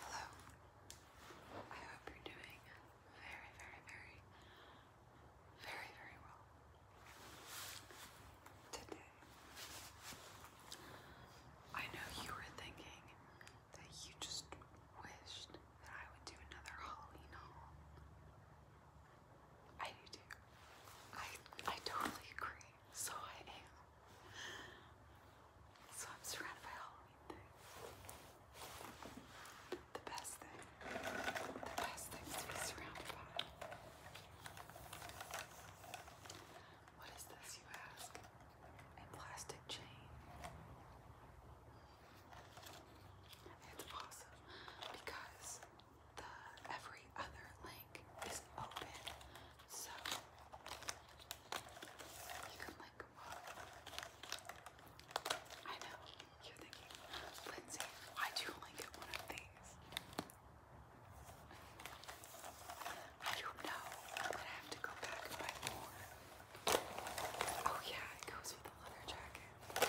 Hello. I hope you're doing very, very, very, very, very well. Today, I know you were thinking that you just wished that I would do another Halloween haul. I do too. I I totally agree so I am. So I'm surrounded by Halloween things. The best thing, the best things to be surrounded by. What is this, you ask? A plastic chain. It's awesome because every other link is open. So you can like I know, you're Lindsay, why'd you only one of these? I know. I'm have to go back and buy more. Oh yeah, it goes with the leather jacket.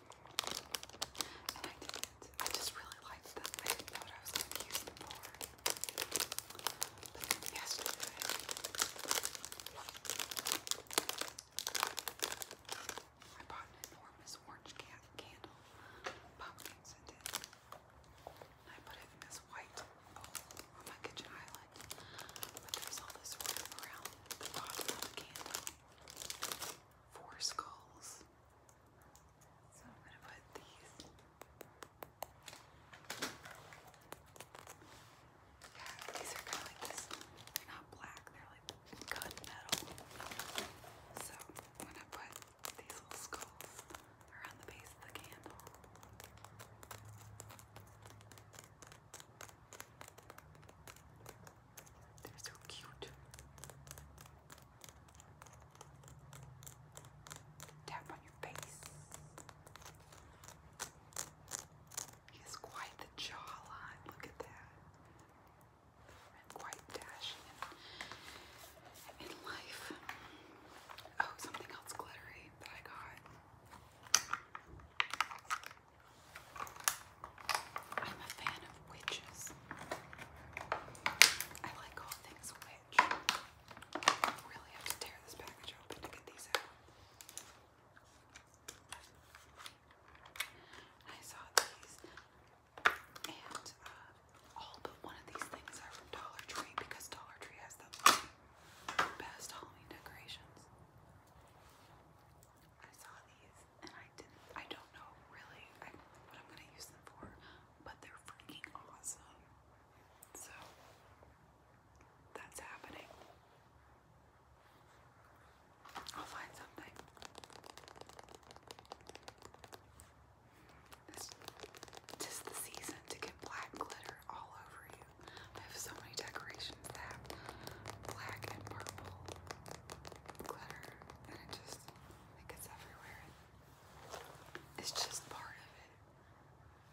And I did. I just really liked them. I didn't know what I was going them for. But then yesterday, I bought an enormous orange can candle, pumpkins and it. And I put it in this white bowl on my kitchen island. But there's all this room around the bottom of the candle. Four skulls. So I'm going to put these. Yeah, these are kind of like this. They're not black, they're like gun So I'm going to put these little skulls around the base of the candle. They're so cute. Tap on your face. He quite the jawline. Look at that. quite dashing in life. Oh, something else glittery that I got. I'm a fan of witches. I like all things witch. I really have to tear this package open to get these out. I saw these, and uh, all but one of these things are from Dollar Tree because Dollar Tree has the best Halloween decorations. I saw these and I didn't. I don't know really what I'm gonna use them for, but they're freaking awesome. So that's happening. I'll find something. This just the season to get black glitter all over you. I have so many decorations that have black and purple glitter and it just, it gets everywhere. It's just part of it.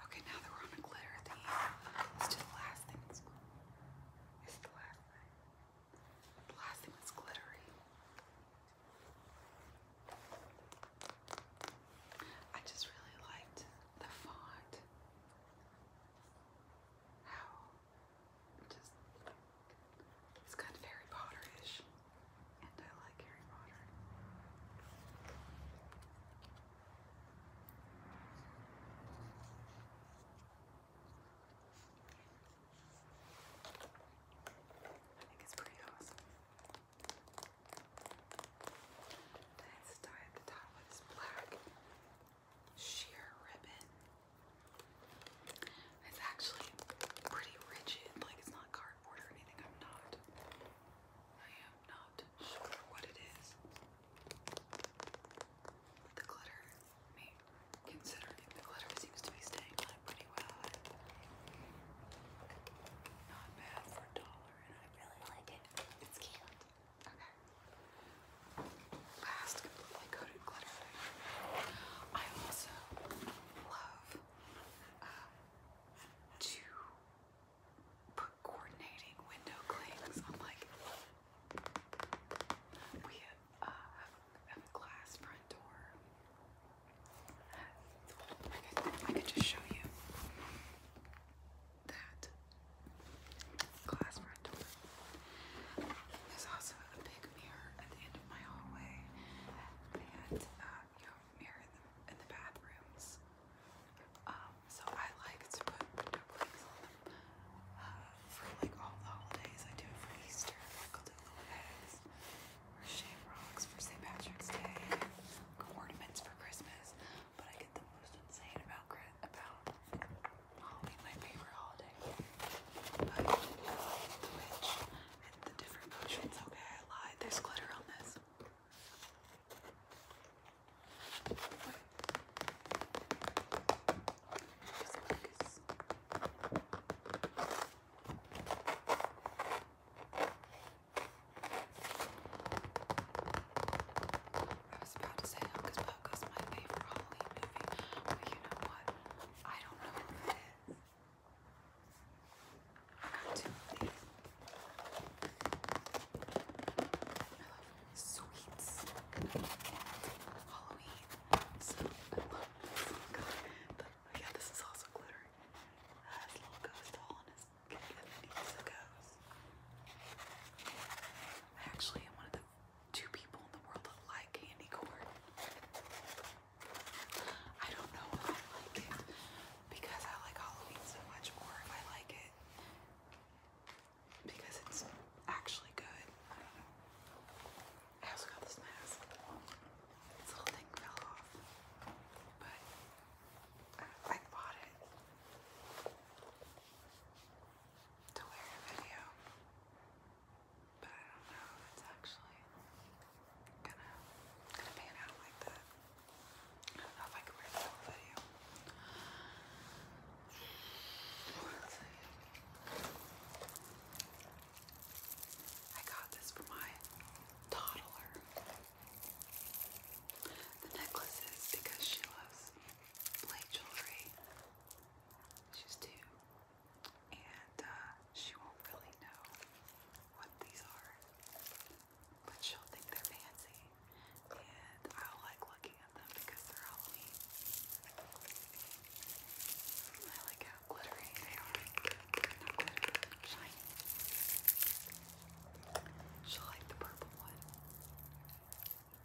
Okay, now that we're the glitter theme, the last thing. This is the last thing. The last thing is glittery. I just really liked the font. How it's kind of Harry Potter-ish, and I like Harry Potter. I think it's pretty awesome. Then it's at the top of black sheer ribbon. It's actually pretty rigid, like it's not cardboard or anything. I'm not. I am not sure what it is. the glitter, I considering the glitter seems to be staying on pretty well. Not bad for a dollar, and I really like it. It's cute. Okay. Last completely coated glitter I also love uh, to put coordinating window clings on like we uh, have, a glass front door. I could just show you that glass There's also a big mirror at the end of my hallway, and uh, you know, mirror in the, bathrooms. Um, so I like to put uh, like all the holidays. I do it for Easter, like I'll shamrocks for St. Patrick's Day, ornaments for Christmas. But I get the most insane about about Halloween my favorite holiday. But the witch and the different potions. Okay, I lied. There's glitter on this. Wait. I was about to say Hocus Pocus, my favorite Halloween movie, but you know what? I don't know if it is. I love sweets and Halloween, so I love this little oh Yeah, this is also glittery. little ghost hole in his and then a ghost. actually am one of two people in the world like candy corn. I don't know if I like it because I like Halloween so much, or if I like it because it's actually good. I don't know. I also got this mask. This little thing fell off, but I bought it to wear a video, but I don't know if it's actually gonna, gonna pan out like that. if I can wear the whole video. I got this for my toddler. The necklaces because she loves play jewelry. She's two. And uh, she won't really know what these are. But she'll think they're fancy. And i like looking at them because they're Halloween. I like how glittery they are. shiny. She'll like the purple one.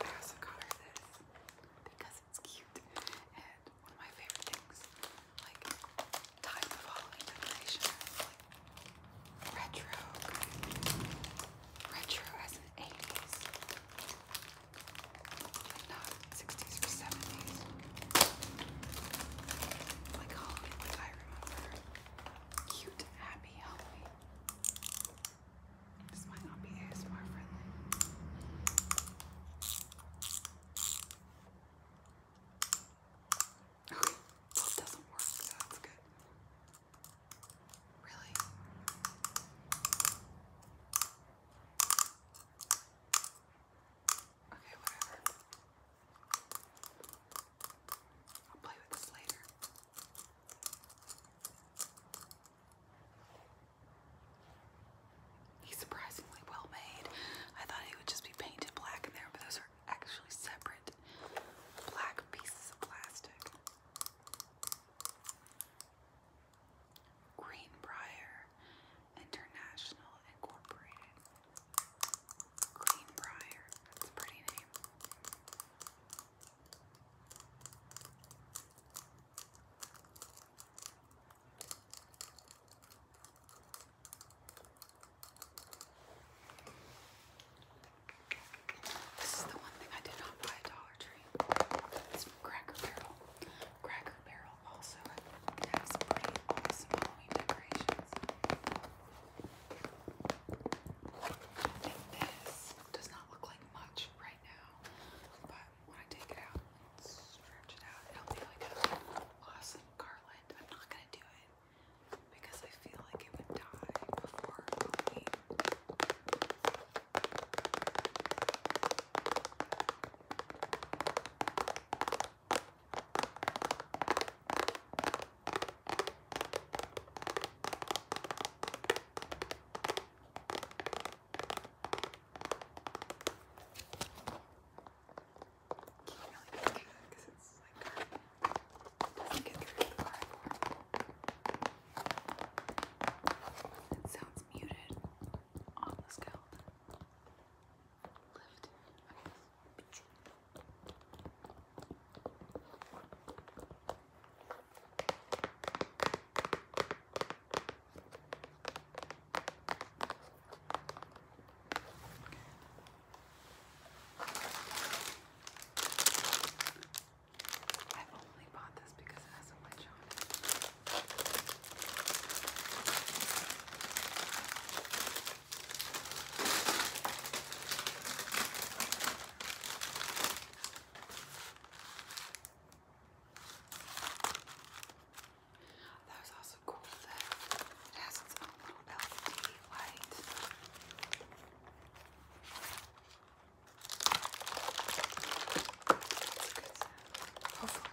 I also got this because it's cute and one of my favorite things, like time of Halloween decoration, retro, retro as an 80s, not 60s or 70s, like Halloween, I remember. Cute, happy Halloween. This might not be ASMR friendly. Okay, doesn't work, that's good. Really? Okay, whatever. I'll play with this later. He's surprisingly well made. I thought he would just be painted black in there, but those are actually separate black pieces of plastic. Greenbrier International Incorporated. Greenbrier, that's a pretty name. This is the one thing I did not buy at Dollar Tree. It's from Cracker Barrel. Cracker Barrel also has pretty awesome Halloween decorations this does not look like much right now, but when I take it out and stretch it out, it'll be like an awesome garland. I'm not gonna do it because I feel like it would die before Halloween. Can't really because it's like it doesn't get through the cardboard. It sounds muted on the scalp. Lift, I guess. I've only bought this because it has a witch on it. That was also cool that it has its own little LED light. That's a good sound. Hopefully.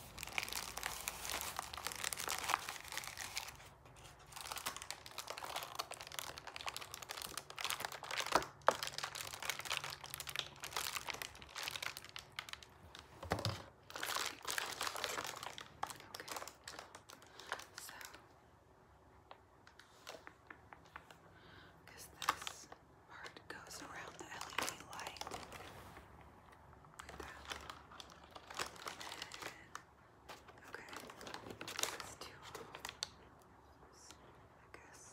so because this part goes around the LED light. Like that. okay, let's do I guess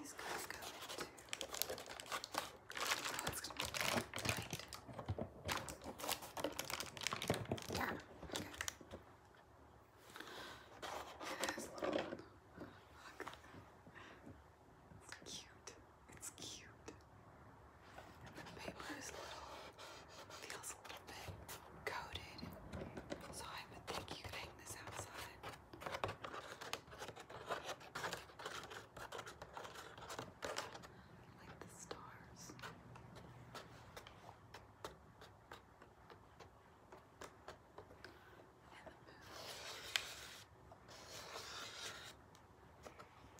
these guys go into. Oh, gonna be tight. Yeah. It's cute. It's cute. the paper is a little, feels a little bit coated, so I would think you could hang this outside. Like the stars. And the moon.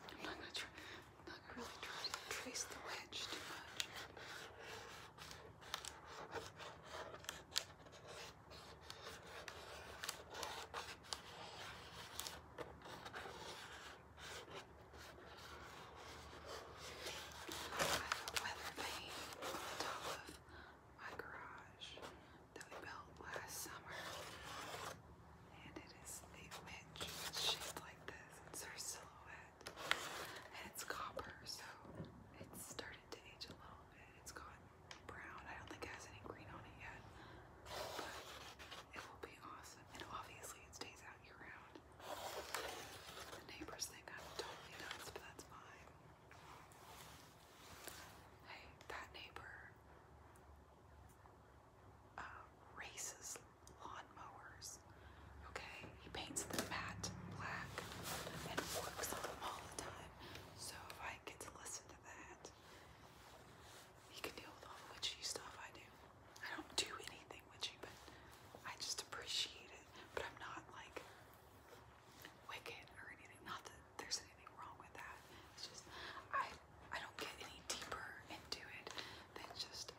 I'm not gonna try, I'm not gonna really try to trace the wedge too much. I have weather vane on the top of my garage that we built last summer. And it is a shaped like this. It's her silhouette. And it's copper, so it's started to age a little bit. It's gone brown. I don't think it has any green on it yet. But it will be awesome. And obviously it stays out year round. The neighbors think I'm totally nuts, but that's fine. Hey, that neighbor uh, races lawnmowers. Okay, he paints the matte black and works on them all the time. So if I get to listen to that, he can deal with all the witchy stuff I do. I don't do anything witchy, but I just appreciate it. But I'm not like wicked or anything. Not there's anything wrong with that. It's just I I don't get any deeper into it than just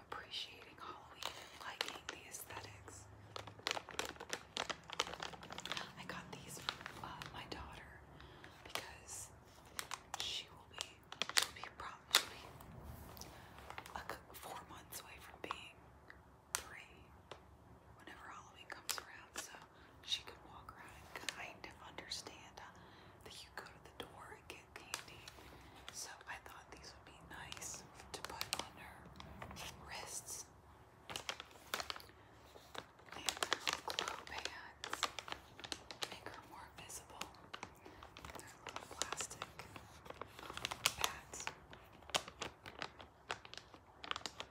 appreciating Halloween liking the aesthetics. I got these for uh, my daughter because she will be she'll be probably like four months away from being three whenever Halloween comes around. So she could walk around and kind of understand that you go to the door and get candy. So I thought these would be nice to put on her wrists. And glow pads make her more visible. They're little plastic pads. Okay,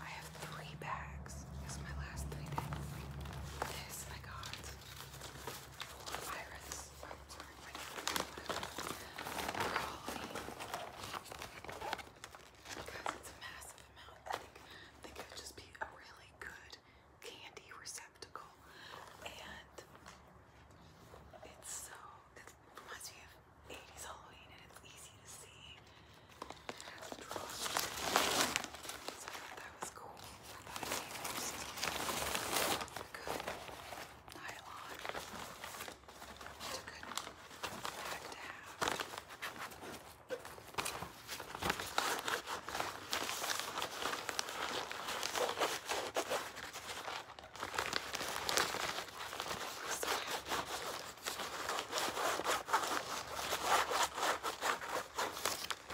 I have three bags. This is my last three things. This I got it's a massive amount. I think, I think just be a really good candy receptacle. And it's so, it reminds me of 80s Halloween and it's easy to see that was cool. I thought it came out still good nylon. It's a good bag to have. Okay,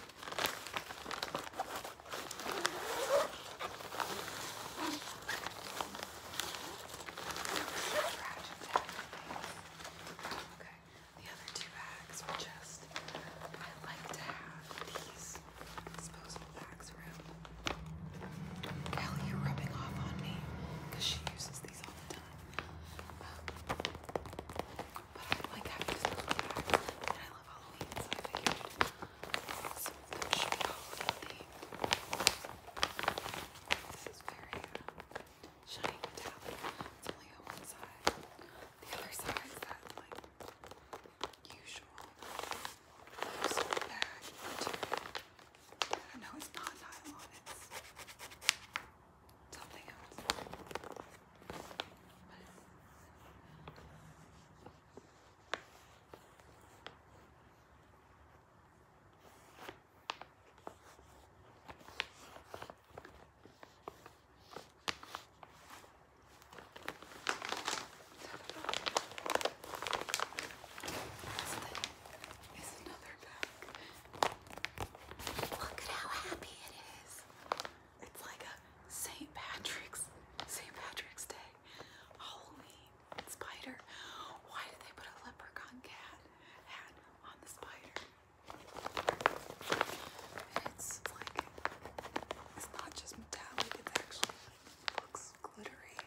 the other two bags were just, I like to have these disposable bags around. Kelly, you're rubbing off on me because she uses these all the time. Um, but I like having school back, and I love Halloween, so I figured This is very shiny metallic. It's only on one side. The other side is that like usual loose bag material. No, it's not nylon something else. This thing another bag. Look at how happy it is. It's like a St. Patrick's St. Patrick's Day. Halloween spider. Why did they put a leprechaun cat hat on the spider? it's like it's not just metallic, it's actually looks glittery.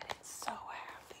And it's so happy.